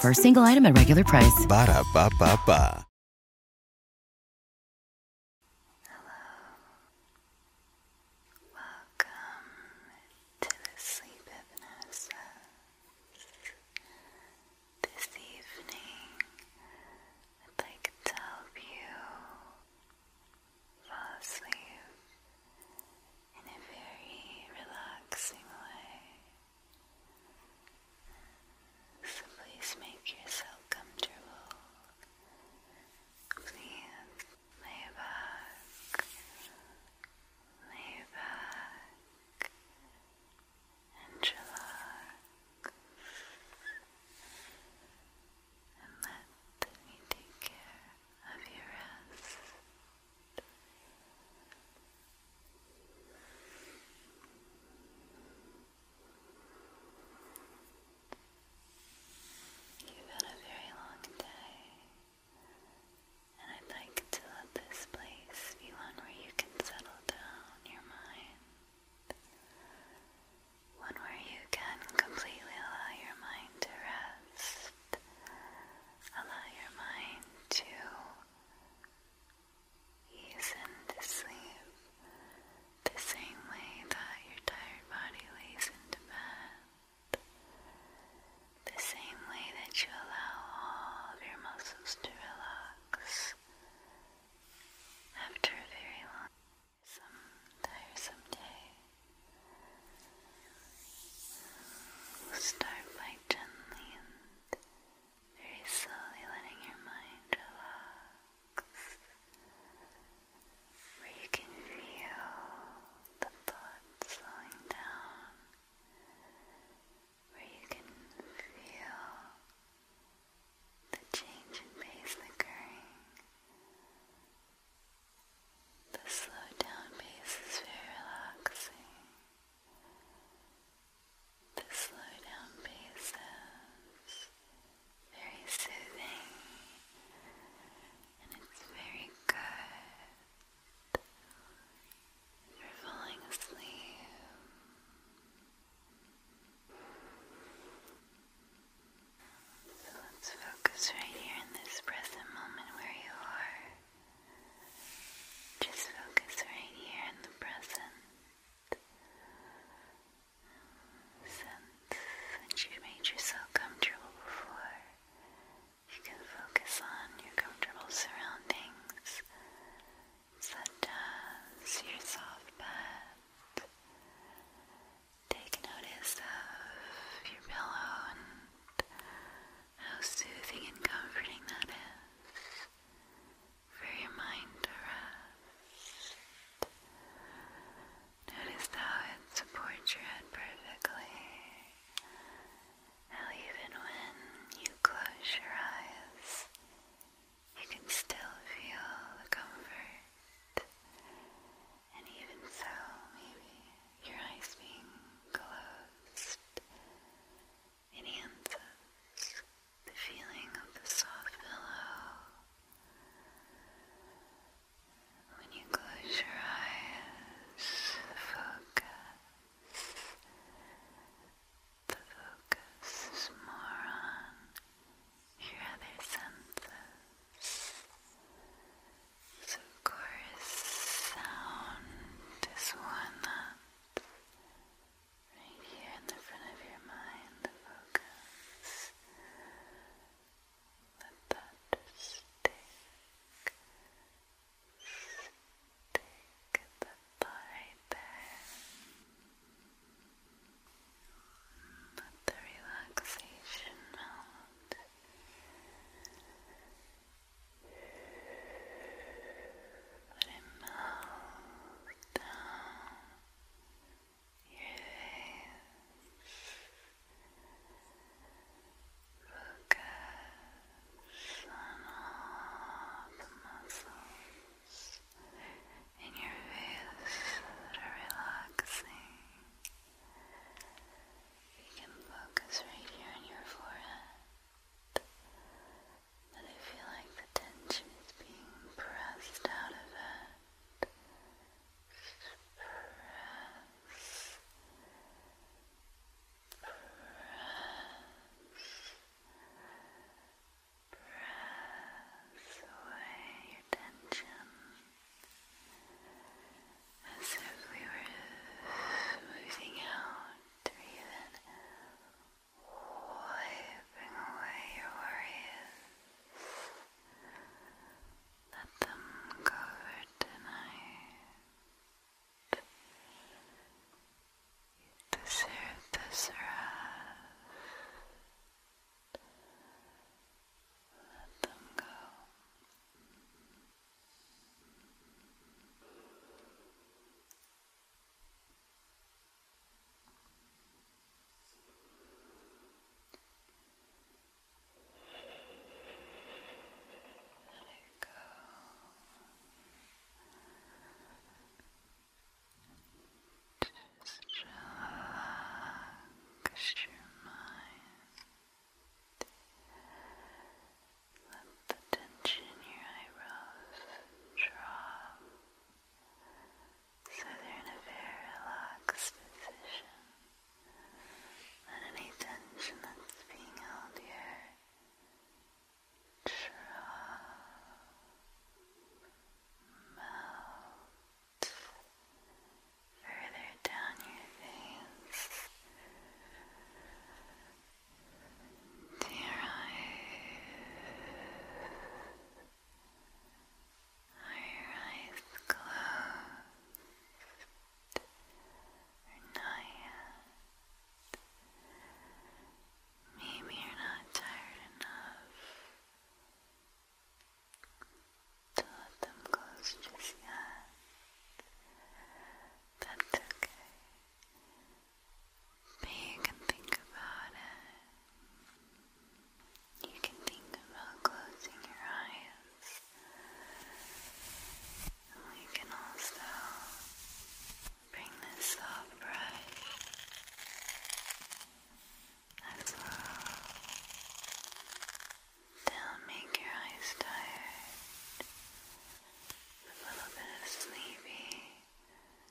For a single item at regular price. Hello. Welcome to the sleep hypnosis. This evening, I'd like to help you fall asleep in a very relaxing way. So please make yourself comfortable. Please lay back, lay back, and relax. And let me take care of your rest. You've had a very long day, and I'd like to let this place be one where you can settle down your mind. One where you can completely allow your mind to rest, allow your mind to Ease into sleep the same way that your tired body lays in bed. The same way that you allow all of your muscles to relax after a very long, some tiresome day. We'll start by gently very slowly letting your mind relax, where you can feel the blood slowing down, where you can feel the change in pace occurring. The slow down pace is very relaxing. The slow down pace is very soothing and it's very good for falling asleep. So let's focus right here in this present moment where you are. Just focus right here in the present. Since, you made yourself comfortable before, you can focus on your comfortable surroundings, such as your soft bed. Take notice of your pillow and how soothing and comforting that is for your mind to rest. Notice how it supports your head perfectly. How even when you close your eyes, you can still feel the comfort. And even so, maybe your eyes being closed and the feeling of the soft pillow. When you close your eyes, focus. The focus is more on your other senses. So, of course, sound is one right here in the front of your mind, focus. Let that stick, stick the thought there. Let the relaxation melt. Let melt down your Focus on all the muscles in your face that are relaxing. You can focus right here on your forehead that I feel like the tension is being pressed out of it. Press. Press. Press away your tension. As if we were smoothing out or even wiping away your worries. Let them go tonight. You this rest. Let them go. Let it go. Just relax your mind. Let the tension in your eyebrows drop so they're in a very relaxed position. Let any tension that's being held here drop, melt further down your face to your eyes. Are your eyes closed? Or not Maybe you're not tired enough to let them close just yet. That's okay. But you can think about it. You can think about closing your eyes. we can also bring this soft brush as They'll make your eyes tired. A little bit sleepy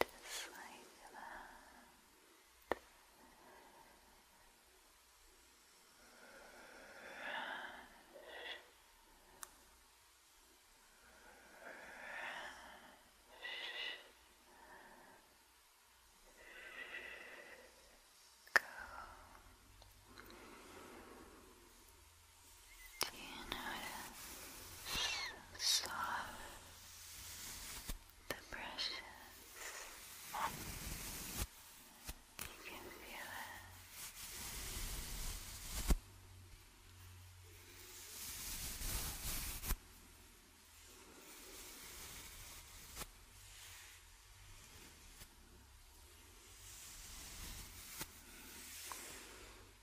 Just like that. Go. Do you notice how soft the brush You can feel it.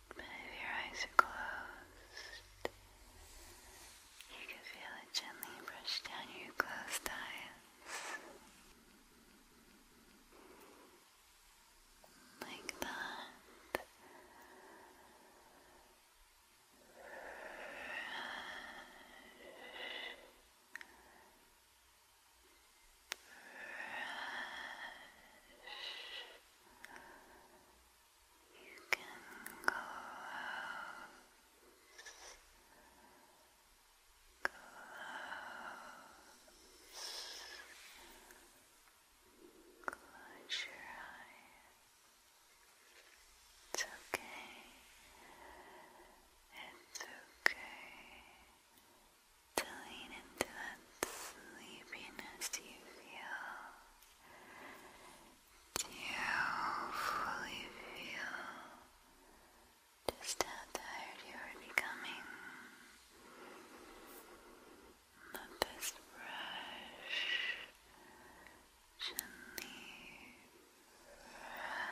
But if your eyes are closed, you can feel it gently brush down your closed eyes. Like that. You can close, close, close your eyes. It's okay. It's okay to lean into that sleepiness you feel. Do you fully feel just how tired you are becoming? Let this brush gently brush. Brush,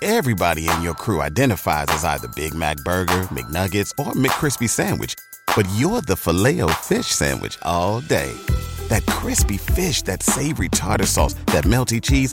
Everybody in your crew identifies as either Big Mac Burger, McNuggets, or McCrispy Sandwich, but you're the filet o fish Sandwich all day. That crispy fish, that savory tartar sauce, that melty cheese,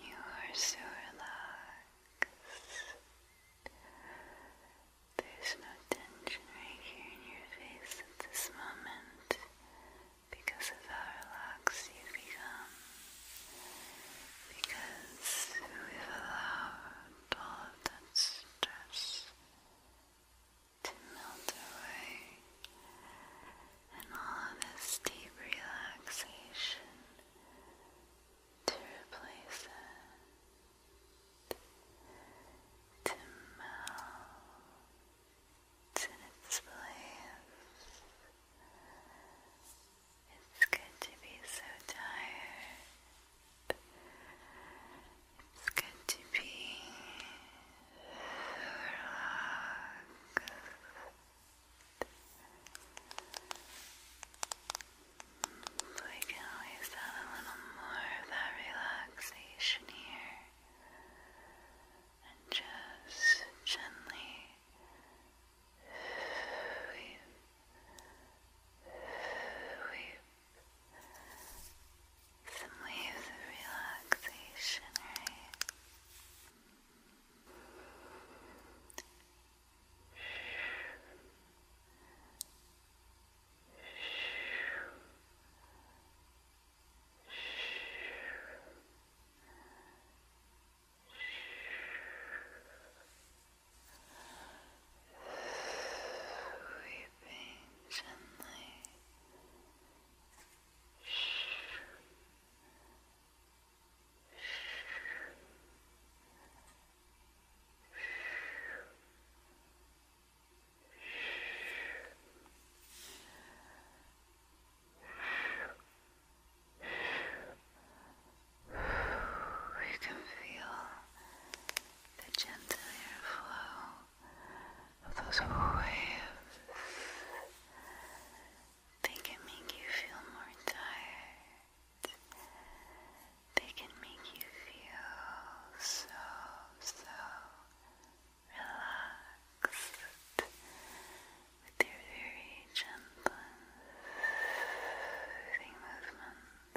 you are so relaxed. There's no tension right here in your face at this moment because of how relaxed you become. Because we've allowed all of that stress to melt away and all this deep relaxation to replace it, to melt in its place. It's good to be so tired. It's good to be we can always have a little more of that relaxation here and just gently weep, weep some waves of relaxation, right? Sleeping gently. Shh. We can feel the gentle airflow of those waves they can make you feel more tired. They can make you feel so, so relaxed with your very gentle soothing movements.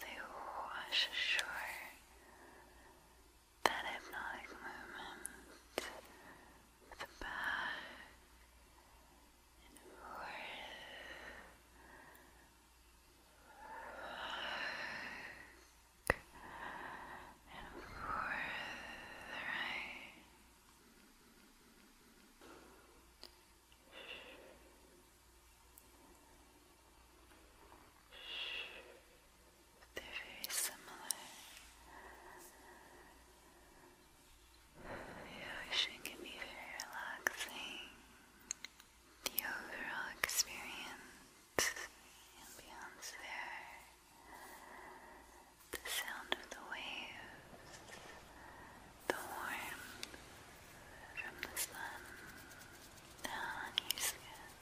they wash ashore that hypnotic movement the back and forth, and forth, right? They're very similar. The ocean can be very relaxing. The overall experience, the there, the sound of the waves, the warmth from the sun on your skin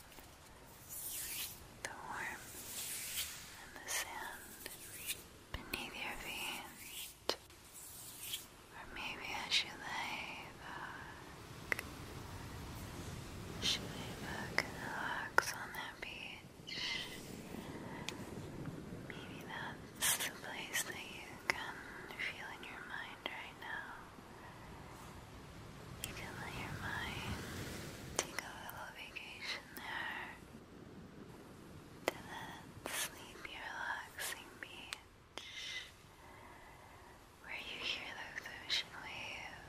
the warmth and the sand beneath your feet. Or maybe I should lay back. Should lay back and relax on that beach. Maybe that's the place that you can feel in your mind right now. You can let your mind take a little vacation there to that sleepy, relaxing beach where you hear those ocean waves,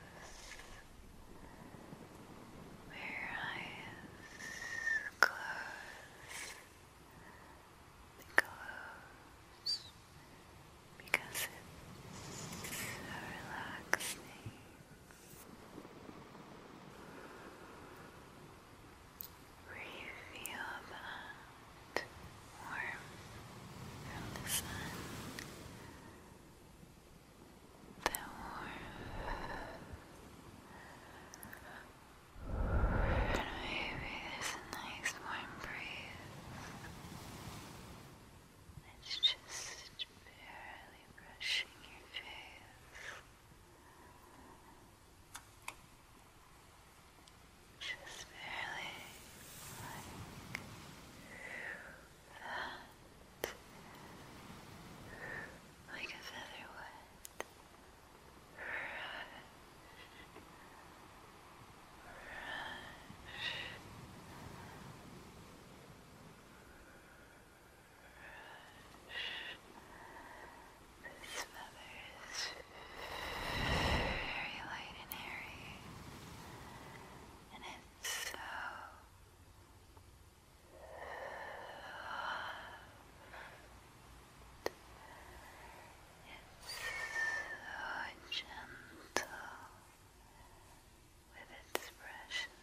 where your eyes close. Close, because it's so relaxing. Really feel that warmth from the sun. That warmth. Maybe there's nice warm breeze. It's just barely brushing your face. Just barely like that. Like a feather would. This feather is very light and airy, and it's so soft. It's so gentle with its brushes.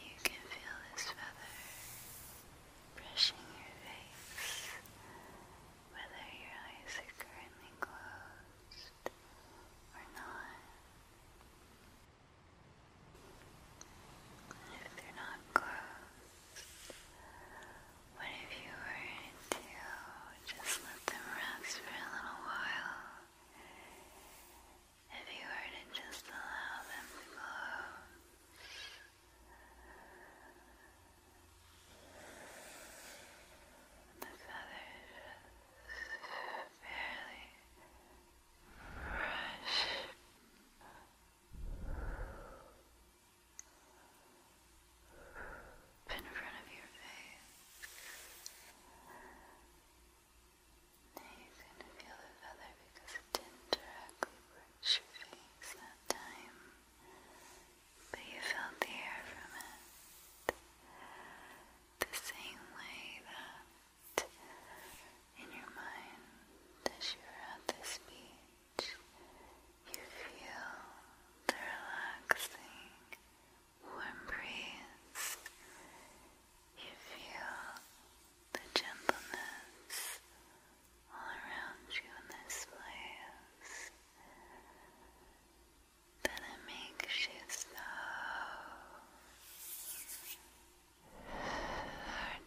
you can feel this feather brushing your face, whether your eyes are currently closed or not. If they're not closed, what if you were to just let them rest for a little while? If you were to just allow them to close. The feathers barely brush in front of your face. Now you can feel the feather because it didn't directly brush your face that time, but you felt the air from it the same way that in your mind, as you're at this beach, you feel the relaxing warm breeze, you feel the gentleness all around you in this place that makes you so, tired.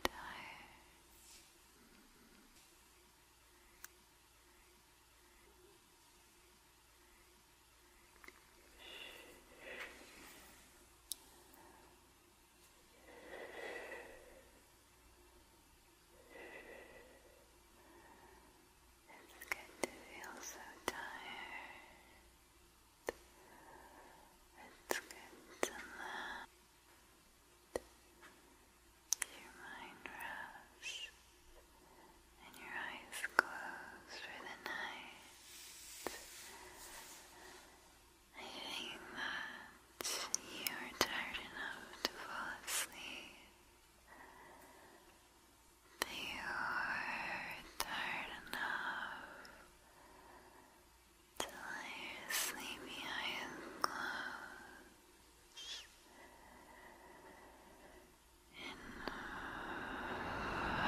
It's good to feel so tired. It's good to let your mind rest and your eyes close for the night. I think that you are tired enough to fall asleep that you are tired enough to your sleepy eyes close in five,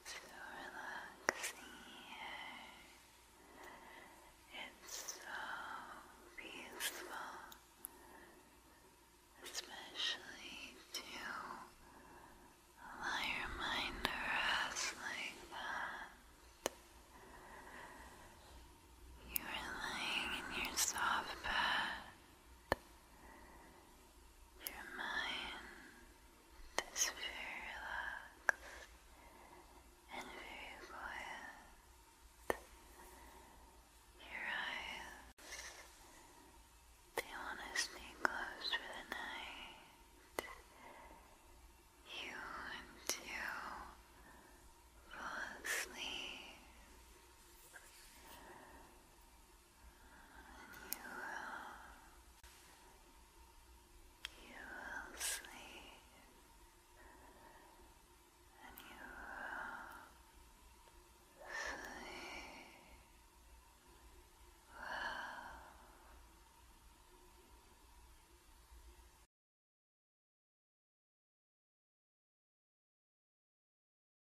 It's so relaxing It's so peaceful, especially to allow your mind to rest like that. You are lying in your soft bed. Your mind is very relaxed and very quiet. Your eyes, they want to stay closed for the night. You want to fall asleep and you will, you will sleep, and you will sleep well.